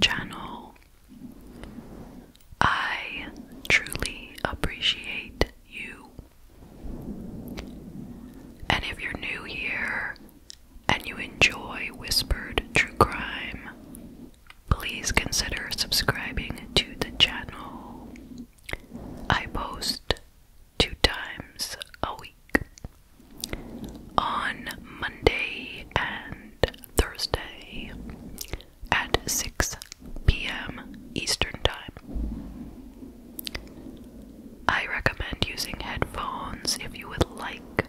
channel. I truly appreciate you. And if you're new here and you enjoy Whispered True Crime, please consider subscribing to the channel. I post two times a week. On Monday and Thursday at 6 p.m. Eastern Time. I recommend using headphones if you would like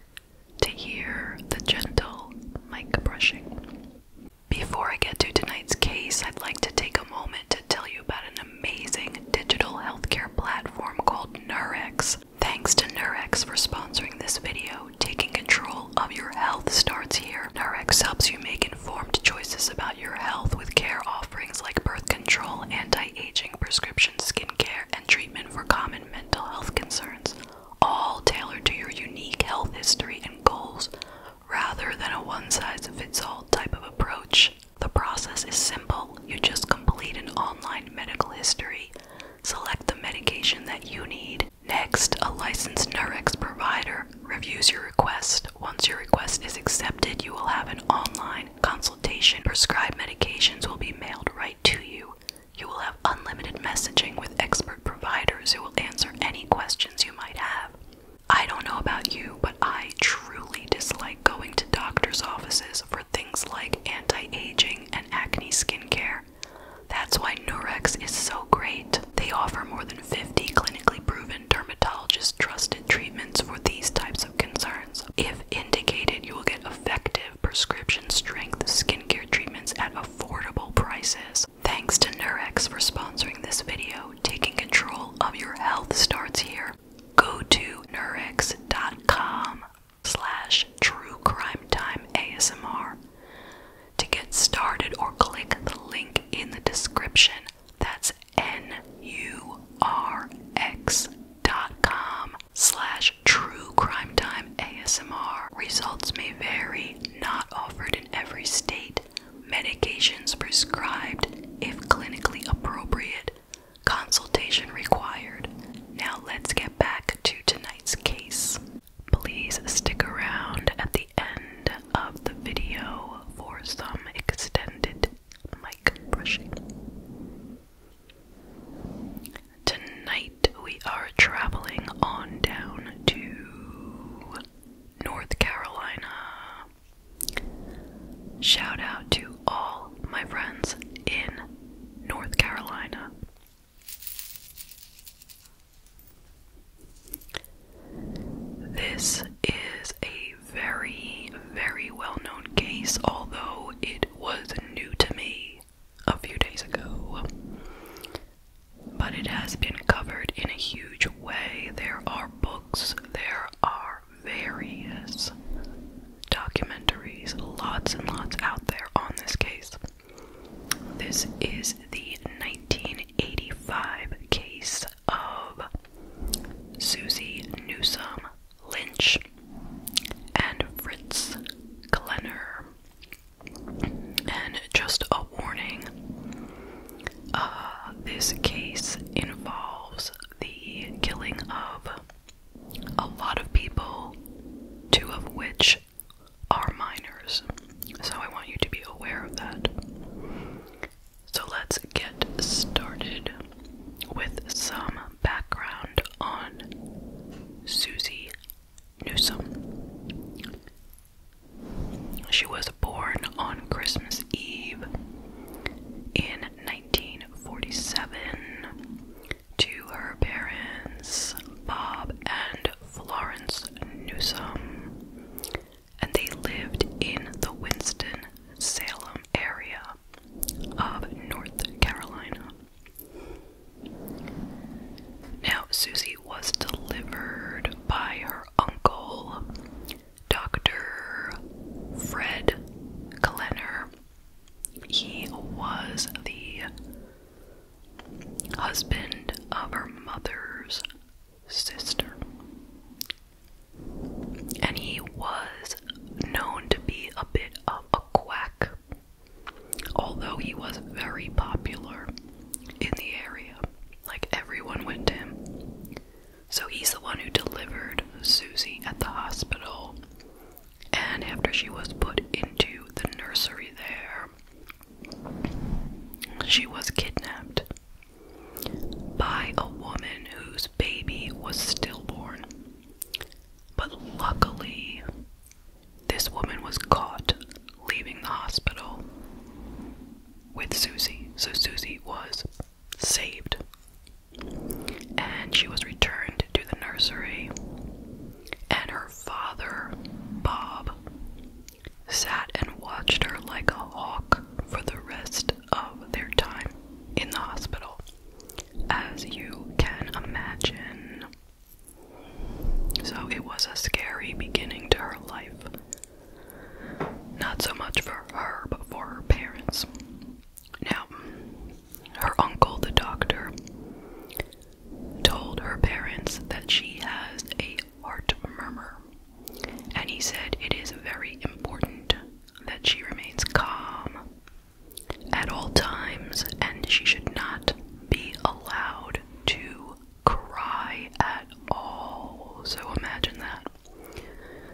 to hear the gentle mic brushing. Before I get to tonight's case, I'd like to take a moment to tell you about an amazing digital healthcare platform called Nurex Thanks to Nurex for sponsoring this video. Taking control of your health starts here. Nurex helps you make informed choices about your health with care offerings like birth control, anti-aging, prescription skincare, and treatment for common mental health concerns, all tailored to your unique health history and goals rather than a one-size-fits-all type of approach. The process is simple. You just complete an online medical history Select the medication that you need. Next, a licensed Nurex provider reviews your request. Once your request is accepted, you will have an online consultation. Prescribed medications will be mailed right to you. You will have unlimited messaging with expert providers who will answer any questions you might have. I don't know about you, but I truly dislike going to doctor's offices for things like anti aging and acne skincare. That's why Nurex is so great. They offer more than 50 clinically proven dermatologist trusted treatments for these types of concerns. If indicated, you will get effective prescription strength skincare treatments at affordable prices. Thanks to Nurex for sponsoring this video. Taking control of your health starts here. Go to nurex.com slash true crime time ASMR. To get started or click the link in the description. That's N-U-R-X.com slash true crime time ASMR. Results may vary, not offered in every state. Medications prescribed if clinically appropriate. Consultation required. Now let's get back to tonight's case. Please stick around at the end of the video for some extended mic brushing. Tonight we are traveling on down to North Carolina. Shout out to all my friends in North Carolina. This is a very, very well known case, although it was new to me a few days ago. But it has been covered in a huge way. There are books, there are various documentaries, lots and lots out there on this case. This is the 1985 case of Susie Newsome Lynch and Fritz Glenner. And just a warning uh, this case involves the killing of a lot of people, two of which are minors. So I want you to be aware of that. So let's get started with some background on Susie Newsom. She was born on Christmas Eve in 1947 to her parents, Bob and Florence Newsom, and they lived in the Winston-Salem area of North Carolina. Now, Susie was delivered by her uncle, Dr. Fred Glenner. He was the husband of her mother's sister. And he was known to be a bit of a quack, although he was very popular in the area. Like everyone went to him. So he's the one who delivered Susie at the hospital and after she was put into the nursery there, she was kidnapped by a woman whose baby was stillborn. But luckily, this woman was caught leaving the hospital with Susie. So Susie was saved. And she was returned to the nursery and her father, Bob, sat and watched her like a hawk for the rest of their time in the hospital. As you can imagine. So it was a scary beginning to her life. Not so much for her, but for her parents. Now, her uncle, the doctor, told her parents that she has a heart murmur, and he said it is very important that she remains calm at all times and she should not be allowed to cry at all. So imagine that.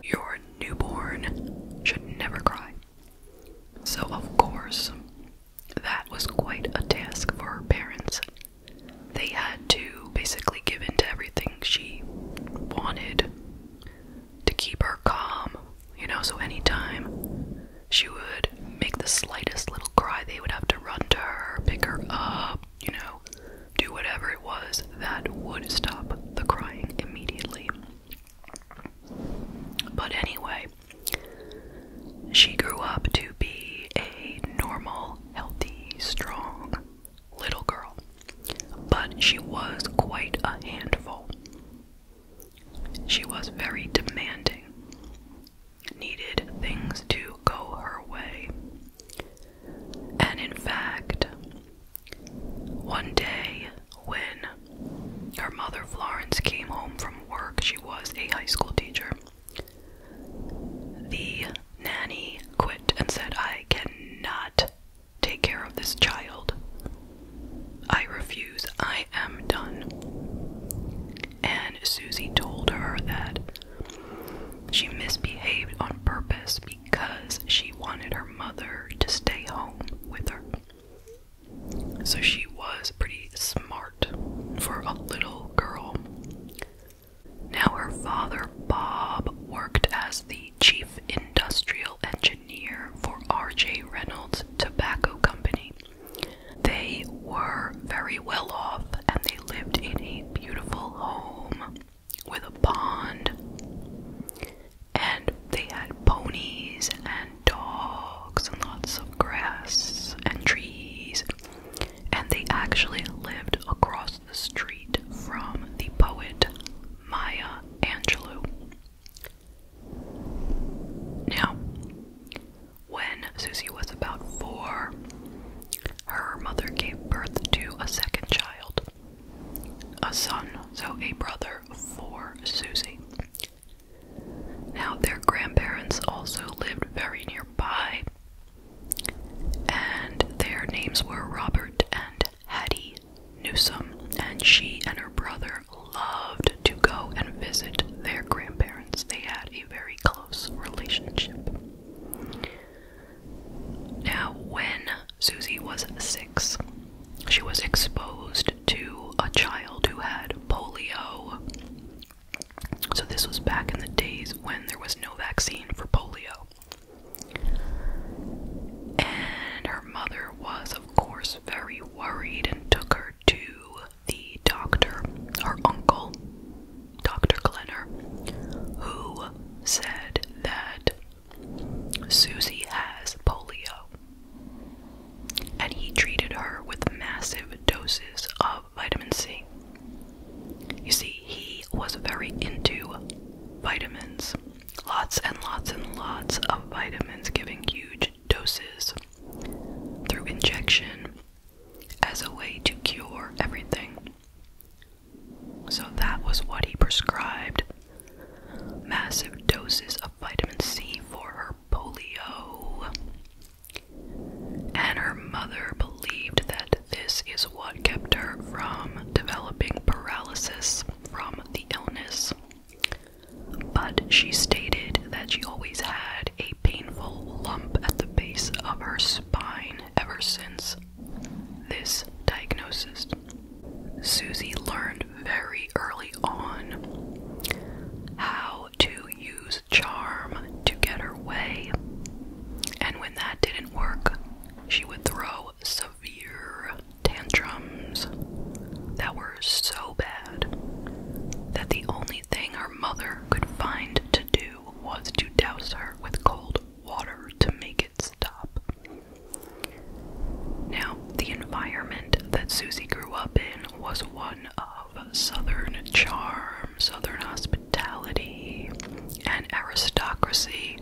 Your newborn should never cry. So, of course, that was quite a task for her parents. They had to basically give in to everything she wanted to keep her calm, you know, so anytime she would make the slightest little cry, they would have to run to her, pick her up, you know, do whatever it was that would stop the crying immediately. But anyway, she grew up to be a normal, healthy, strong little girl. But she was quite a handful. She was very demanding, needed things to go her way. And in fact, one day when her mother Florence came home from work, she was a high school teacher. The nanny quit and said, I cannot take care of this child. I refuse. I am done. And Susie told her that she misbehaved on purpose because she wanted her mother to stay home with her. So she was pretty smart for a little girl. Now, her father, Bob, worked as the chief industrial engineer for R.J. Reynolds Tobacco Company. They were very well off and they lived in a beautiful home with a pond. And they had ponies and dogs and lots of grass and trees. And they actually lived across the street from the poet Maya Angelou. Now, when Susie was about four, her mother gave birth to a second child, a son, so a brother for Susie. Now, their grandparents also lived very nearby, and their names were Robert and Hattie Newsom, and she and her brother loved to go and visit their grandparents. They had a very close relationship. Now, when Susie was six, she was exposed to a child who had polio. So, this was back in the days when there was no vaccine for polio. And her mother was, of course, very worried and took her to the doctor, her uncle, Dr. Glenner, who said that Susie has polio and he treated her with massive doses of vitamin C. You see, he was very into vitamins. Lots and lots and lots of vitamins, giving huge doses through injection as a way to cure everything. So that was what he prescribed massive doses of vitamin C for her polio. And her mother believed that this is what kept her from developing paralysis from the illness. But she stated that she always had a painful lump at the base of her spine ever since this diagnosis. Susie learned very early on how to use charm to get her way. And when that didn't work, she would throw severe tantrums that were so bad that the only thing her mother could find to do was to douse her with cold water to make it stop. Now, the environment that Susie grew up in was one of southern charm, southern hospitality, and aristocracy,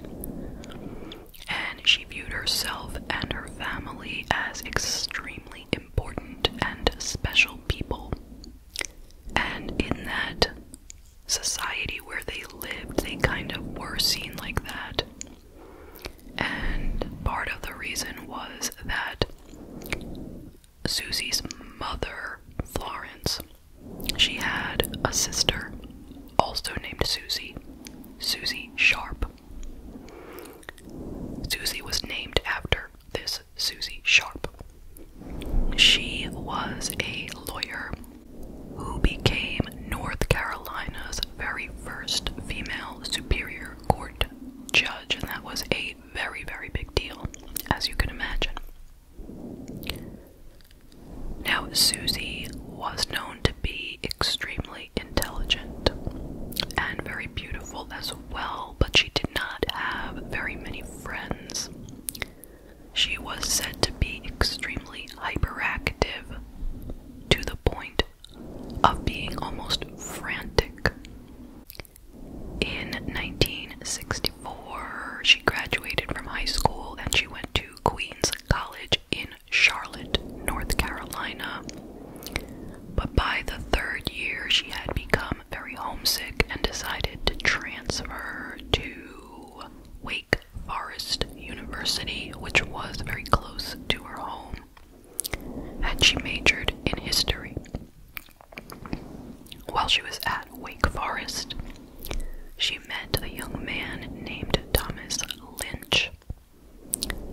and she viewed herself and her family as extremely important and special people. And in that society where they lived, they kind of were seen like that. And part of the reason was that Susie's mother, Florence, she had a sister also named Susie, Susie Sharp. Susie was named after this Susie Sharp. She was a lawyer who became North Carolina's very first female Superior Court judge, and that was a very, very big deal, as you can imagine. Now, Susie was known to be extremely intelligent and very beautiful as well, but she did not have very many friends. She was said to be extremely hyperactive to the point of being almost frantic. In 1964, she graduated from high school and she went to Queens College in Charlotte, North Carolina. But by the third year, she had become very homesick and decided to transfer to Wake Forest University, which was very close to her home and she majored in history. While she was at Wake Forest, she met a young man named Thomas Lynch.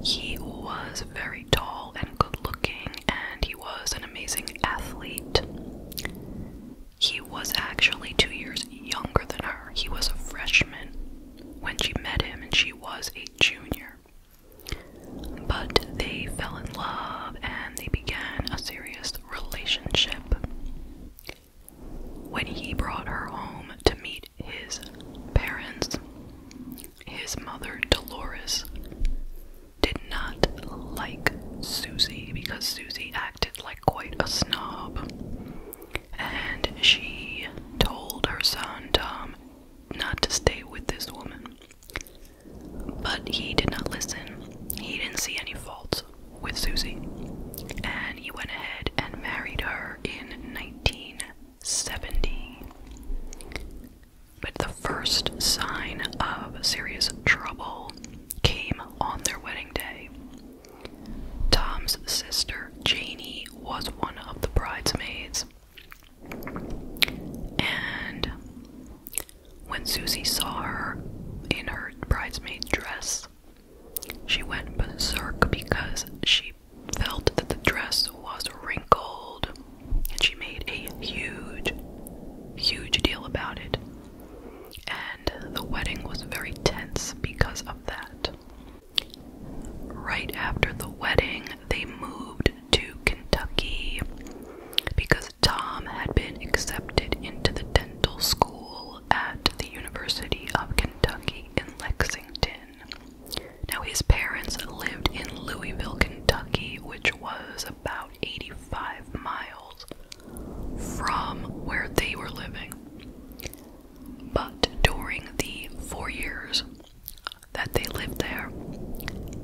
He was very tall and good looking, and he was an amazing athlete. He was actually two years younger than her. He was a freshman when she met him, and she was a junior. But they fell in love and they began a serious relationship. When he brought her home to meet his parents, his mother, Dolores, did not like Susie because Susie acted like quite a snob. And she told her son, Tom, not to stay with this woman. But he did not listen. He didn't see any faults with Susie. And he went ahead and married her in 1970. But the first sign of serious trouble came on their wedding day. Tom's sister, Janie, was one of the bridesmaids, and when Susie saw her in her bridesmaid dress, she went berserk because she felt that the dress was wrinkled and she made a huge, huge deal about it. And the wedding was very tense because of that. Right after the wedding, they moved to Kentucky because Tom had been accepted into the dental school at the University of Kentucky in Lexington. Now, his parents lived in Louisville, Kentucky, which was about 85 miles from where they were living. But during the four years that they lived there.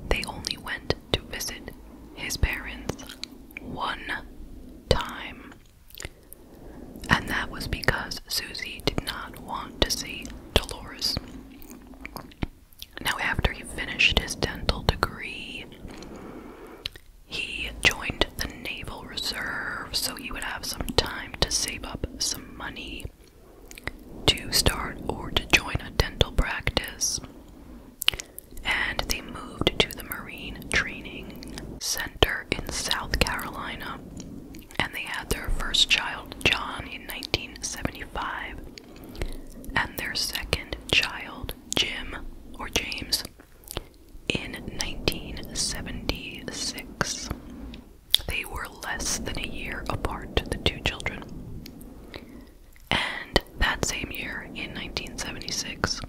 They only went to visit his parents one time. And that was because Susie did not want to see Dolores. Now, after he finished his dental degree, he joined the Naval Reserve so he would have some time to save up some money to start or to join a dental practice. And they moved to the Marine Training Center in South Carolina. And they had their first child, John, in 1975, and their second child, Jim or James, in 1976. They were less than a year apart, the two children. And that same year, in 1976,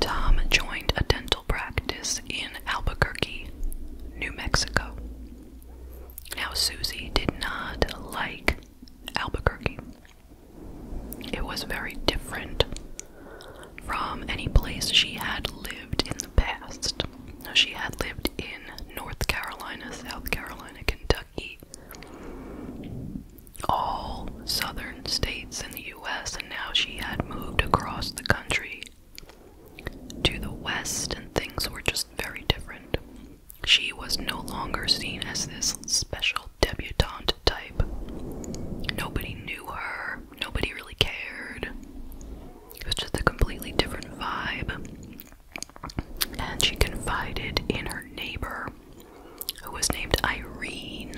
Tom joined a dental practice in Albuquerque, New Mexico. Now, Susie did not like Albuquerque, it was very different from any place she had lived in the past. Now, she had lived in North Carolina, South Carolina, Kentucky, all southern states in the US, and now she had moved across the country to the west, and things were just very different. She was no longer seen as this special debutante type. Nobody knew her, nobody really cared. It was just a completely different vibe. And she confided in her neighbor, who was named Irene,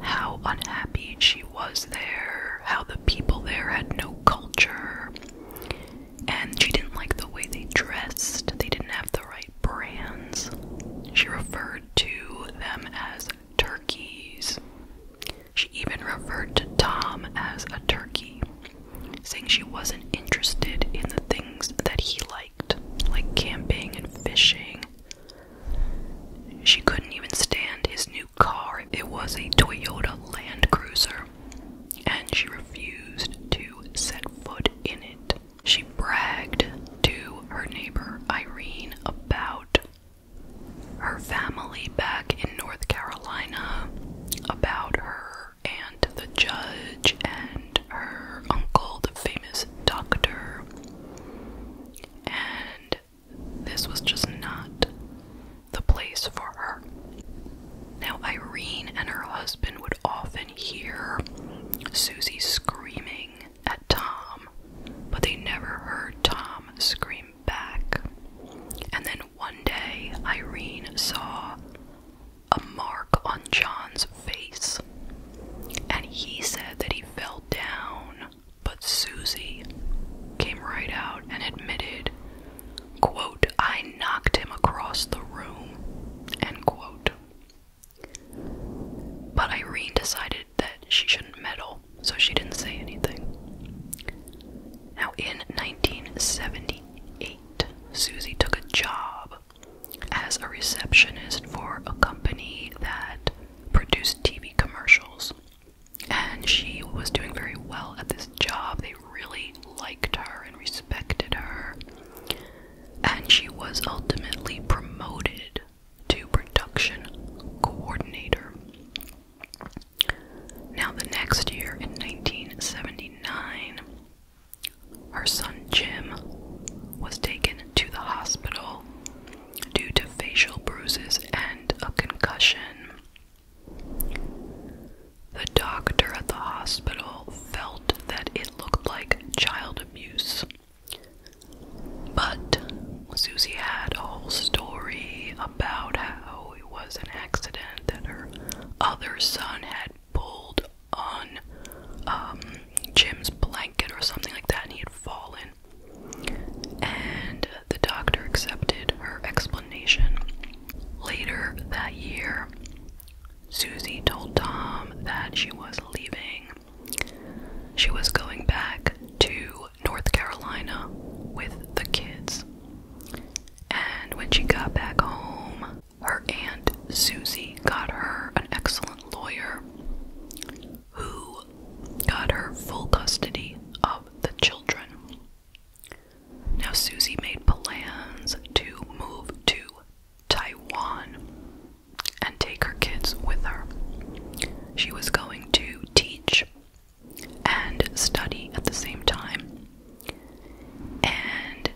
how unhappy she was there, how the people there had no culture, and she didn't like the way they dressed, they didn't have the right brands. She referred to them as turkeys. She even referred to Tom as a turkey, saying she wasn't interested in the things that he liked, like camping and fishing. She couldn't even stand his new car. It was a Toyota Land Cruiser, and she refused to set foot in it. She bragged to her neighbor Irene about her family back in North Carolina about her and the judge, and her uncle, the famous doctor. And this was just not the place for her. Now, Irene and her husband would often hear Susie screaming at Tom, but they never heard Tom screaming back. And then one day, Irene saw a mark on John's face, and he said that he fell down, but Susie came right out and admitted, quote, I knocked him across the room, end quote. But Irene decided that she shouldn't meddle, so she didn't say anything. Now, in 1978, Susie took a job as a receptionist for a company that produced TV commercials. And she was doing very well at this job. They really liked her and respected her. And she was ultimately promoted to production coordinator. Now, the next year, in 1979, her son Jim was taken to the hospital due to facial bruises and a concussion. The doctor at the hospital felt that it looked like child abuse. But Susie had a whole story about how it was an accident that her other son had pulled on um, Jim's blanket or something like that and he had fallen. And the doctor accepted her explanation. Later that year, Susie told Tom that she was leaving. She was going back to North Carolina with the kids. And when she got back home, her aunt Susie got her an excellent lawyer who got her full custody of the children. Now, Susie made plans to move to Taiwan and take her kids with her. She was going to teach and study at the same time. And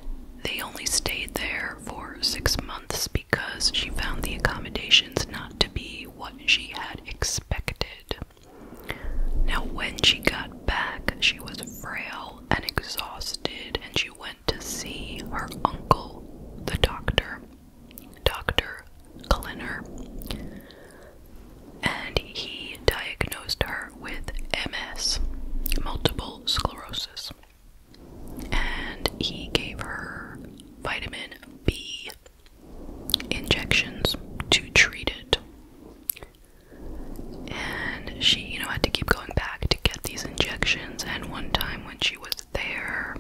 they only stayed there for six months because she found the accommodations not to be what she had expected. Now, when she got back, she was frail and exhausted, and she went to see her uncle, the doctor, Dr. Clinner and he diagnosed her with MS, multiple sclerosis. And he gave her vitamin B injections to treat it. And she, you know, had to keep going back to get these injections. And one time when she was there,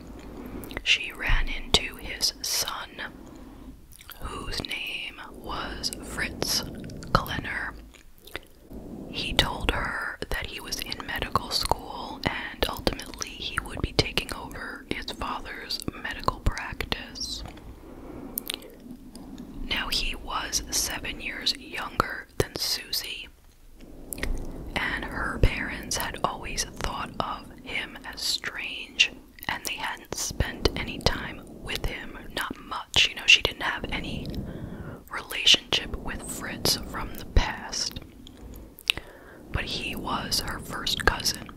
she ran into his son whose name was Fritz Klenner. He told her that he was in medical school and ultimately he would be taking over his father's medical practice. Now, he was seven years younger than Susie, and her parents had always thought of him as strange and they hadn't spent any time with him, not much. You know, she didn't have any relationship with Fritz from the past. But he was her first cousin.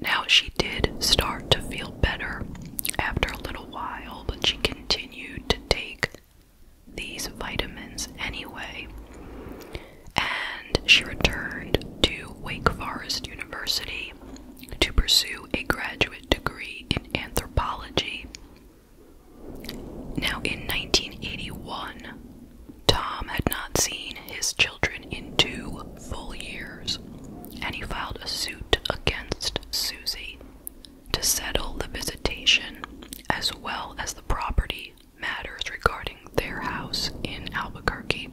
Now, she did start to feel better after a little while, but she continued to take these vitamins anyway. And she returned to Wake Forest University to pursue a graduate degree in anthropology. Now, in 1981, Tom had not seen his children in two full years, and he filed a suit against Susie to settle the visitation as well as the property matters regarding their house in Albuquerque.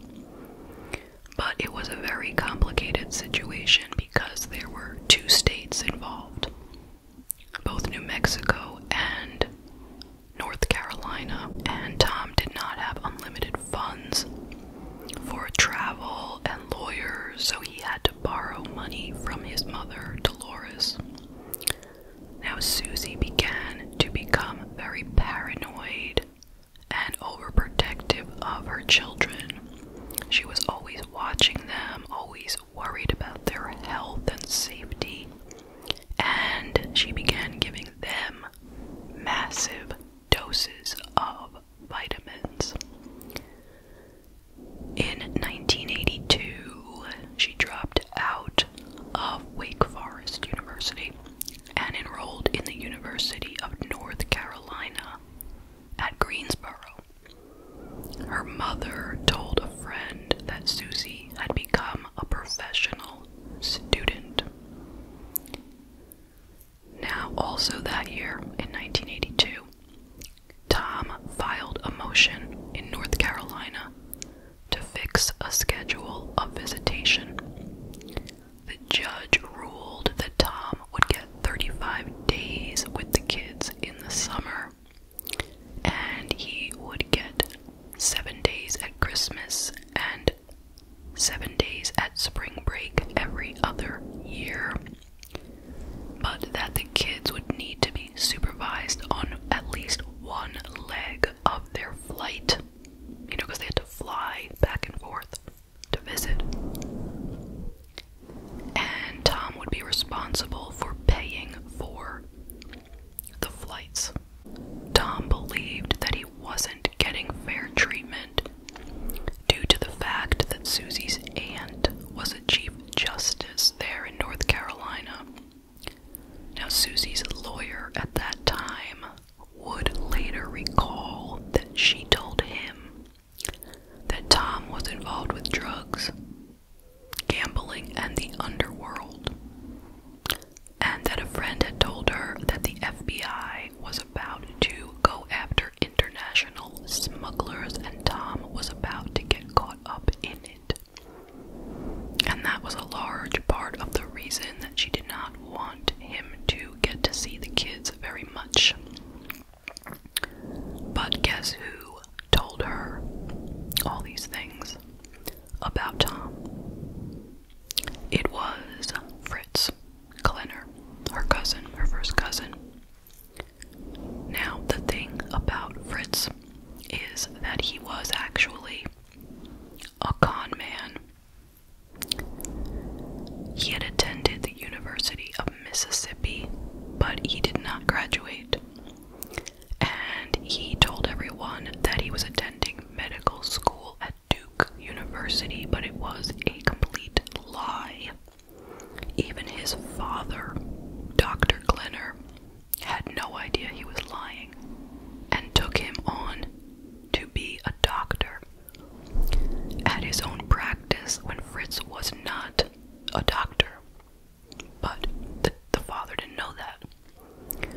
But it was a very complicated situation because there were two states involved. Both New Mexico and North Carolina, and Tom did not have unlimited funds for travel and lawyers, so he had to borrow money from his mother, Dolores. Now, Susie began to become very paranoid and overprotective of her children. She was always watching them, always worried about their health and safety, and she began giving them massive doses of vitamins. In 1982, she dropped out of Wake Forest University and enrolled in the University of North Carolina at Greensboro. Her mother told a friend that Susie had become a professional student. Now, also that year, in 1982, Tom filed a motion in North Carolina to fix a schedule of visitation. The judge ruled that Tom would get 35 days with the kids in the summer, and he would get seven days at Christmas and seven days at spring break every other year, but that the kids would need to be supervised on at least one leg of their flight, you know, because they had to fly back and forth to visit. And Tom would be responsible for paying for the flights. Tom believed that he wasn't getting fair treatment due to the fact that Susie's aunt was a Chief Justice there in North Carolina. Now, Susie's lawyer at that time would later recall that she told him that Tom was involved with drugs, gambling, and the underworld, and that a friend had told her that the FBI was about to go after international smugglers, and Tom was about to get caught up in it. And that was a large part of the reason that she did not want him to get to see the kids very much. But guess who told her all these things about Tom? It was Fritz Klenner, her cousin, her first cousin. Now, the thing about Fritz is that he was actually a con man he had attended the University of Mississippi, but he did not graduate. And he told everyone that he was attending medical school at Duke University, but it was a complete lie. Even his father, Dr. Glenner, had no idea he was lying and took him on to be a doctor at his own practice when Fritz was not a doctor. But the, father didn't know that.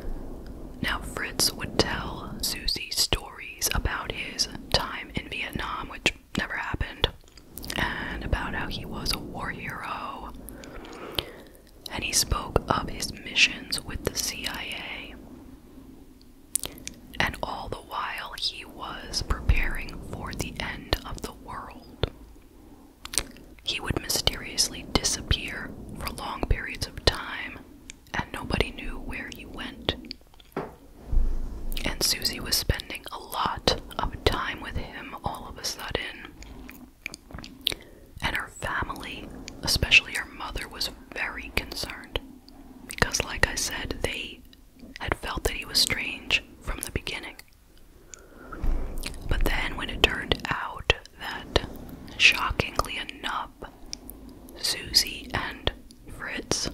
Now, Fritz would tell Susie stories about his time in Vietnam, which never happened, and about how he was a war hero. And he spoke of his missions with the CIA. And all the while, he was preparing for the end of the world. He would mysteriously disappear for long periods of time, and nobody knew where he went. And Susie was spending a lot of time with him all of a sudden. And her family, especially her mother, was very concerned because, like I said, they had felt that he was strange from the beginning. But then, when it turned out that, shockingly enough, Susie and Fritz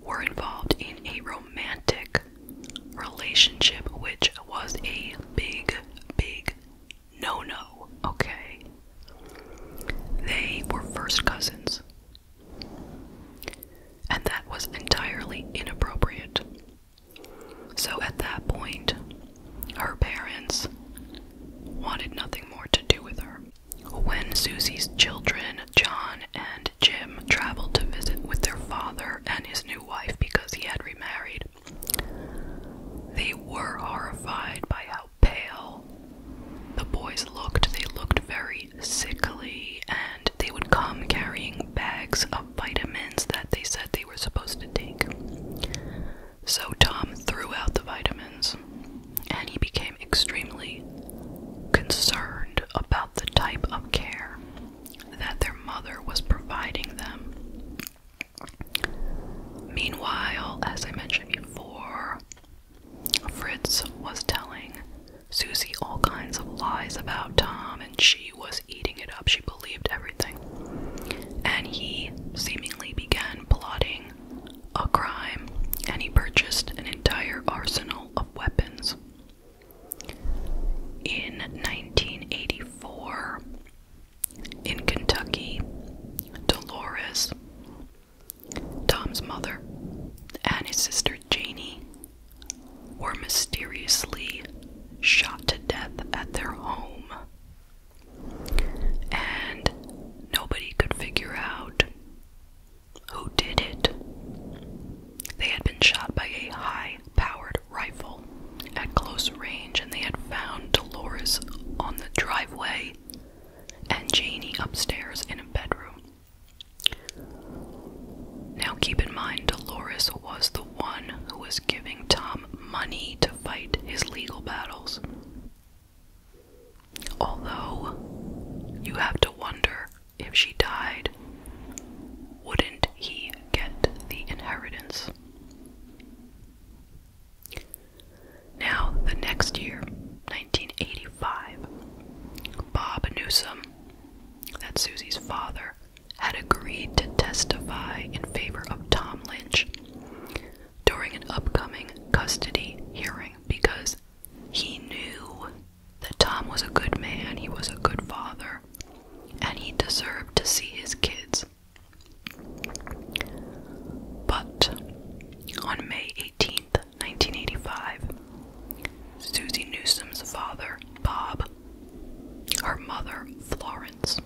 were involved in a romantic relationship, which was a big, big no no, okay? They were first cousins. And that was entirely inappropriate. So at that point, her parents wanted nothing more to do with her. When Susie's children, John and Jim, traveled to visit with their father and his new wife because he had remarried, they were horrified by how pale the boys looked. They looked very sickly, and they would come carrying bags of vitamins that they said they were supposed to take. So Tom threw out the vitamins, and he became extremely concerned about the type of care that their mother was providing them. Meanwhile, as I mentioned before, Fritz was telling Susie all kinds of lies about Tom, and she was eating it up. She believed everything. And he seemingly began plotting a crime, and he purchased an entire arsenal of weapons. In 1984, in Kentucky, Dolores Tom's mother and his sister Janie were mysteriously shot to death at their home. And nobody could figure out who did it. They had been shot by a high powered rifle at close range, and they had found Dolores on the driveway and Janie upstairs in a bedroom. Now keep in mind, Dolores was the one who was giving Tom money to fight his legal battles. Although, you have to wonder if she died, wouldn't he get the inheritance? Now, the next year, 1985, Bob Newsom, that's Susie's father, had agreed to testify in favor of Tom Lynch during an upcoming custody hearing because he knew that Tom was a good man, he was a good father, and he deserved to see his kids. But on May 18th, 1985, Susie Newsom's father, Bob, her mother, Florence,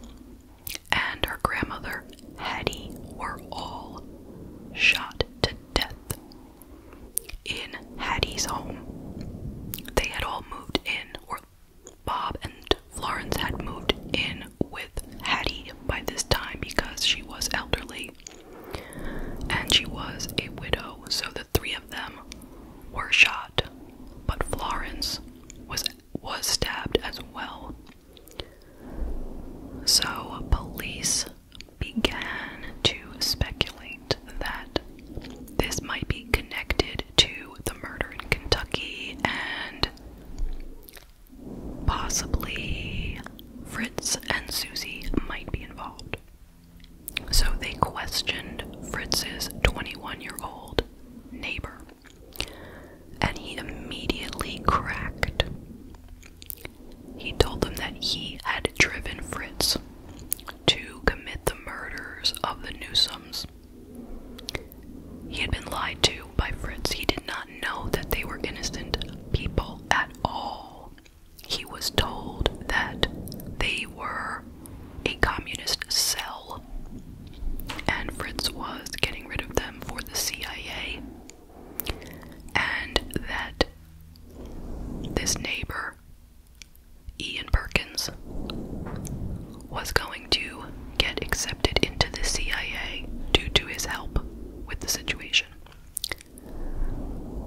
and her grandmother, Hattie, were all shot to death in Hattie's home. They had all moved in, or Bob and Florence had moved in with Hattie by this time because she was elderly and she was a widow, so the three of them were shot, but Florence was was stabbed as well. So police began to speculate that this might be connected to the murder in Kentucky and Possibly Fritz and Susie might be involved. So they questioned Fritz's 21 year old neighbor, and he immediately cracked. He told them that he had driven Fritz to commit the murders of the Newsoms. He had been lied to by Fritz. He did not know that they were innocent people at all. He was told that they were a communist cell, and Fritz was getting rid of them for the CIA, and that this neighbor, Ian Perkins, was going to get accepted into the CIA due to his help with the situation.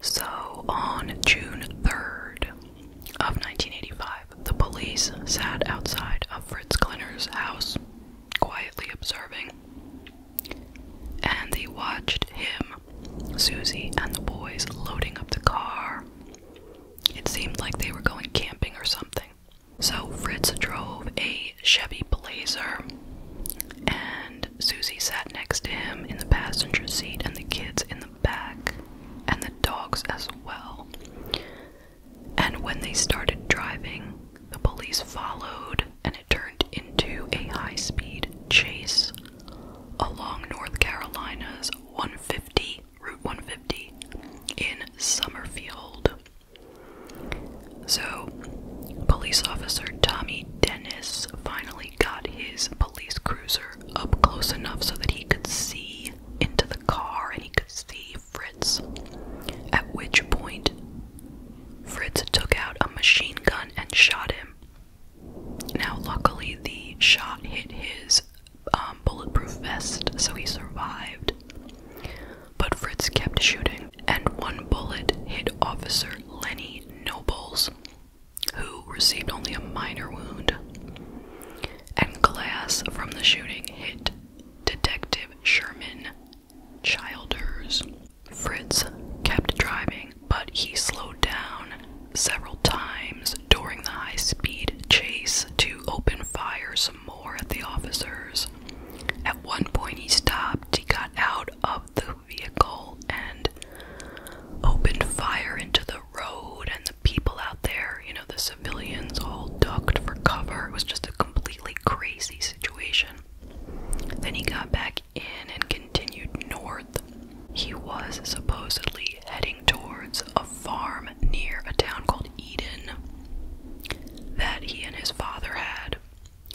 So on June 3rd of 1985, the police sat outside of Fritz Klinner's house, quietly observing, and they watched him, Susie, and the boys loading up the car. It seemed like they were going camping or something. So Fritz drove a Chevy Blazer, and Susie sat next to him in the passenger seat, and the kids in the back, and the dogs as well. And when they started driving, the police followed, and it turned into a high speed chase along North Carolina's 150, Route 150 in Summerfield. So, police officer Tommy Dennis finally got his police cruiser up close enough so that he could see into the car and he could see Fritz. At which point, Fritz took out a machine gun and shot him. Now, luckily, the shot hit his um, bulletproof vest, so he survived but Fritz kept shooting, and one bullet hit Officer Lenny Nobles, who received only a minor wound. And glass from the shooting hit Detective Sherman Childers. Fritz kept driving, but he slowed down several times during the high speed chase to open fire some more at the officers. At one point, he stopped, he got out of the vehicle, and opened fire into the road and the people out there. You know, the civilians all ducked for cover. It was just a completely crazy situation. Then he got back in and continued north. He was supposedly heading towards a farm near a town called Eden that he and his father had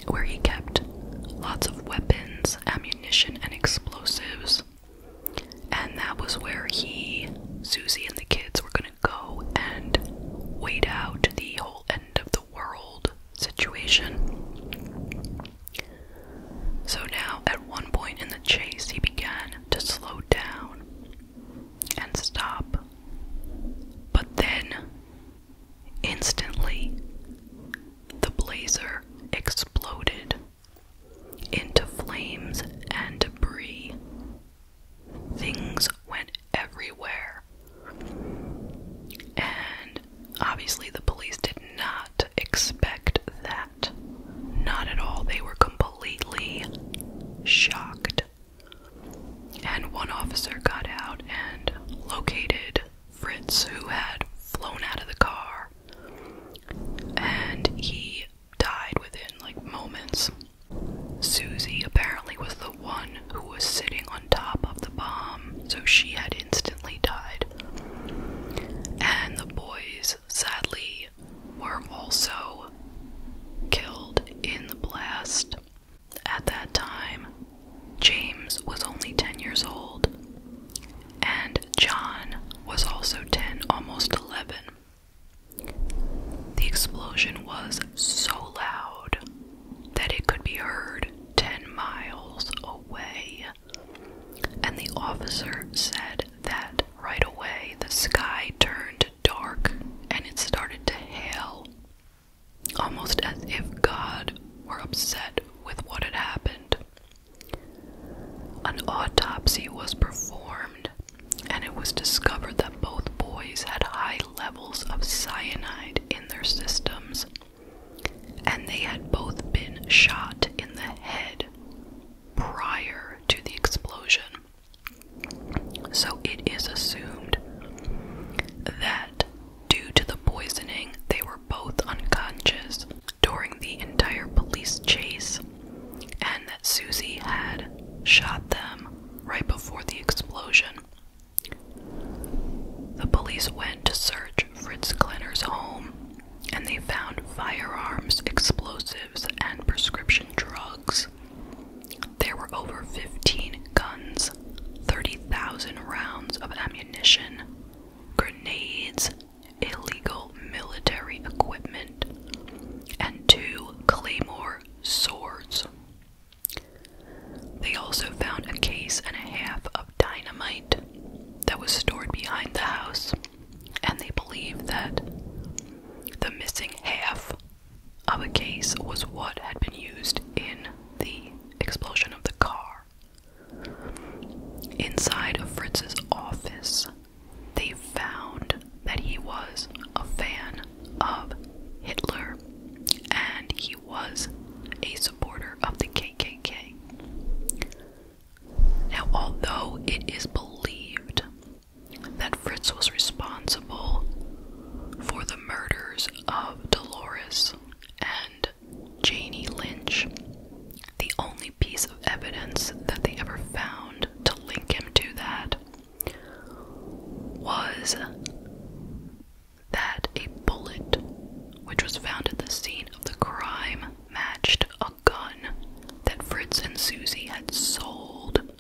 where he kept lots of weapons, ammunition, and explosives. And that was where he, Susie, and the kids were gonna go and wait out the whole end of the world situation. So now, at one point in the chase, he began to slow down and stop. But then Instantly, the blazer exploded into flames and debris. Things went everywhere. And obviously, the police did not expect that. Not at all. They were completely shocked and one officer got out and located Fritz, who had flown out of the car, and he died within like moments. Susie apparently was the one who was sitting on top of the bomb, so she had instantly died. And the boys, sadly, were also killed in the blast. At that time, James was only 10 years old, and John was also 10, almost 11. The explosion was so loud that it could be heard 10 miles away, and the officer said that right away the sky turned dark and it started to hail almost as if God were upset with what had happened. An autopsy was performed, and it was discovered that both boys had high levels of cyanide in their systems, and they had both been shot in the head prior to the explosion. So it is assumed that Due to the poisoning, they were both unconscious during the entire police chase, and that Susie had shot them right before the explosion. The police went to search Fritz Klenner's home and they found firearms, explosives, and prescription drugs. There were over 15 guns, 30,000 rounds of ammunition, grenades, illegal military equipment, and two Claymore swords. They also found a case and a half of dynamite that was stored behind the house, and they believe that the missing half of a case was what had been used in the explosion of the car. Inside of Fritz's office, they found that he was a fan of Hitler and he was a supporter of the KKK. Now, although it is believed that Fritz was responsible for the murders of Dolores and Janie Lynch. The only piece of evidence that they ever found to link him to that was that a bullet, which was found at the scene of the crime, matched a gun that Fritz and Susie had sold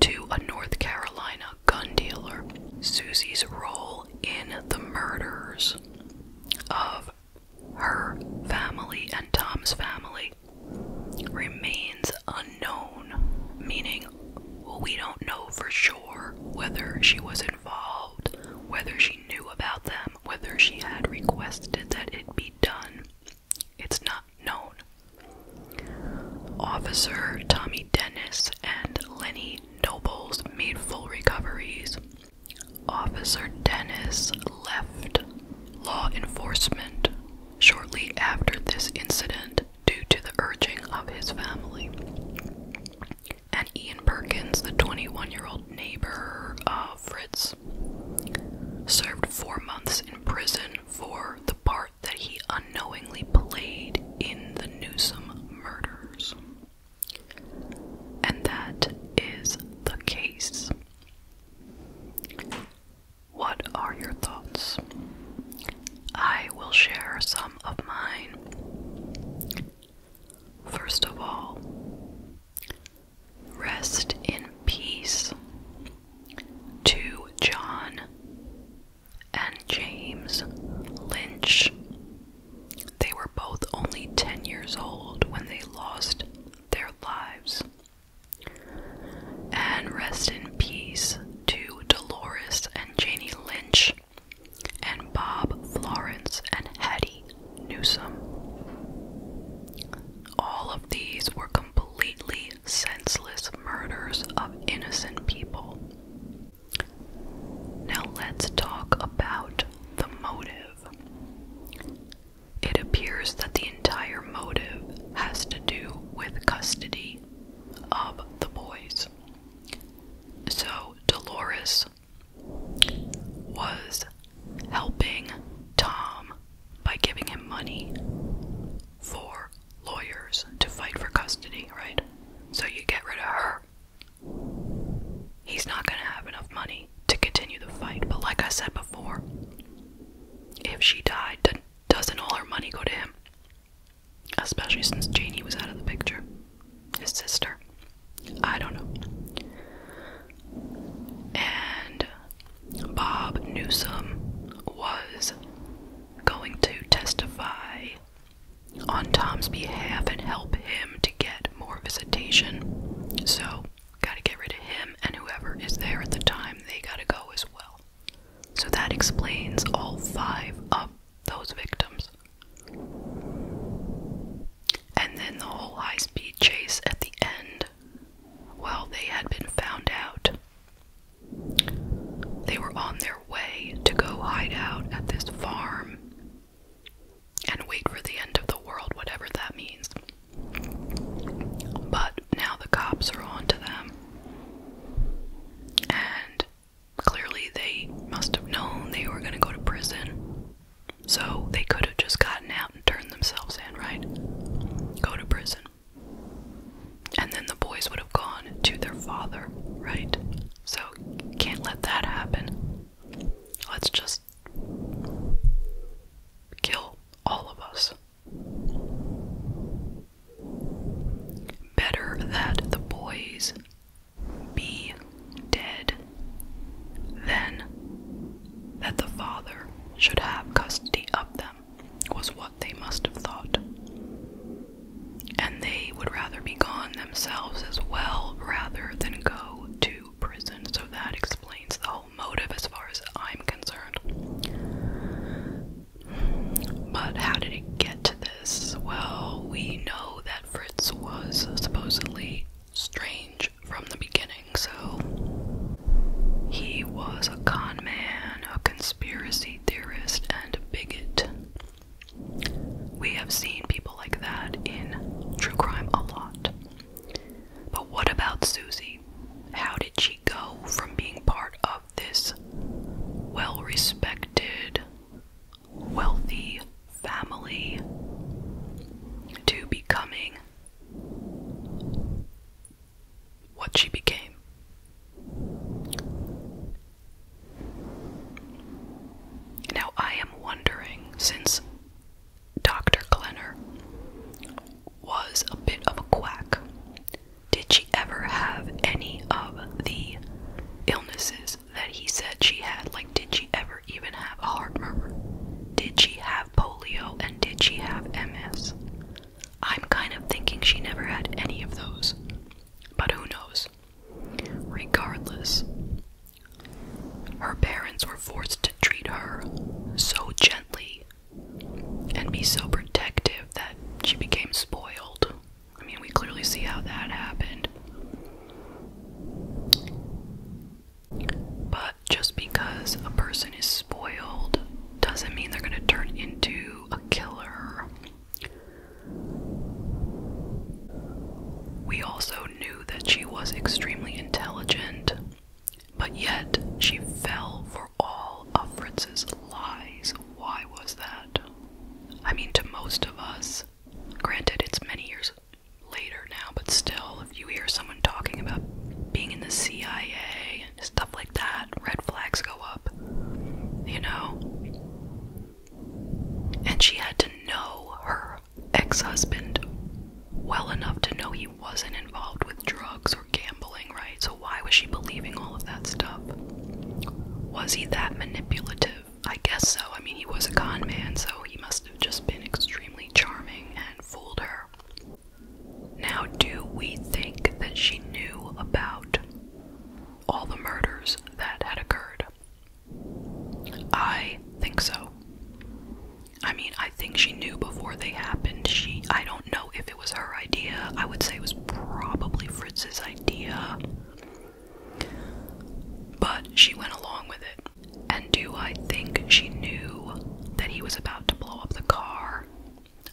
to a North Carolina gun dealer. Susie's role in the murders of her family and Tom's family remains unknown, meaning we don't know for sure whether she was involved, whether she knew about them, whether she had requested that it be done. It's not known. Officer Tommy Dennis and Lenny nobles made full recoveries. Officer Dennis left law enforcement shortly after this incident due to the urging of his family. And Ian Perkins, the 21 year old neighbor of Fritz, served four months in prison for the part that he unknowingly played in the Newsom murders. And that is the case. What are your thoughts? I will share some of mine. First of all, rest in peace to John and James Lynch. They were both only 10 years old when they lost their lives. And rest in peace to Dolores and Janie Lynch, and Bob Florence and Hattie Newsom. All of these were completely senseless murders of innocent people. Now let's talk about the motive. It appears that the entire motive has to do with custody of the boys. So Dolores was helping Tom by giving him money for lawyers to fight for custody, right? So you get rid of her. He's not going to have enough money to continue the fight. But like I said before, if she died, doesn't all her money go to him? Especially since Janie was out of the picture. His sister. I don't know. And Bob Newsom was going to testify on Tom's behalf and help him to get more visitation. So, gotta get rid of him and whoever is there at the time, they gotta go as well. So, that explains all five of those victims. And then the whole high speed chase at the end. Well, they had been found out. They were on their way to go hide out at this farm and wait for the end of the world, whatever that means. But now the cops are on to them. And clearly they must have known they were going to go to prison. So they could have just gotten out and turned themselves in, right? Go to prison and then the boys would have gone to their father, right? So, can't let that happen. Let's just kill all of us. Better that the boys be dead than that the father should have custody of them, was what they must have thought and they would rather be gone themselves as well rather than go to prison. So that explains the whole motive as far as I'm concerned. But how did it get to this? Well, we know that Fritz was supposedly strange from the beginning, so he was a con man, a conspiracy theorist, and a bigot. We have seen people like that in true crime a lot. But what about Susie? How did she go from being part of this well respected, wealthy family to becoming what she became? Now, I am wondering since Dr. Glenner was a bit of a quack, did she ever have any of the illnesses that he said she had? Like, did she ever even have a heart murmur? Did she have polio and did she have MS? I'm kind of thinking she never had any of those, but who knows? Regardless, her parents were forced to treat her so gently and be so protective that she became spoiled. I mean, we clearly see how that happened. But just because a person is spoiled doesn't mean they're going to turn into a killer we also knew that she was extremely intelligent, but yet she fell for all of Fritz's lies. Why was that? I mean, to most of us, granted, it's many years later now, but still, if you hear someone talking about being in the CIA and stuff like that, red flags go up. You know? And she had to know her ex husband well enough to know he wasn't involved with drugs or gambling, right? So, why was she believing all of that stuff? Was he that manipulative? I guess so. I mean, he was a con man, so he must have just been extremely charming and fooled her. Now, do we think that she knew about all the murders that had occurred? I think so. I mean, I think she knew before they happened. She, I don't know if it was her idea. I would say it was probably Fritz's idea. But she went along with it. And do I think she knew that he was about to blow up the car?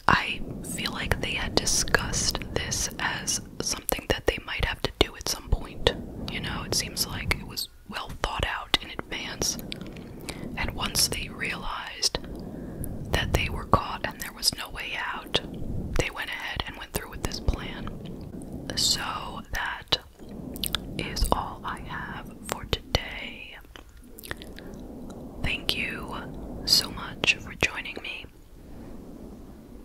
I feel like they had discussed this as something that they might have to do at some point. You know, it seems like it was well thought out in advance. And once they realized that they were caught and there was no way out, they went ahead and went through with this plan. So that is all I have for today. Thank you so much for joining me.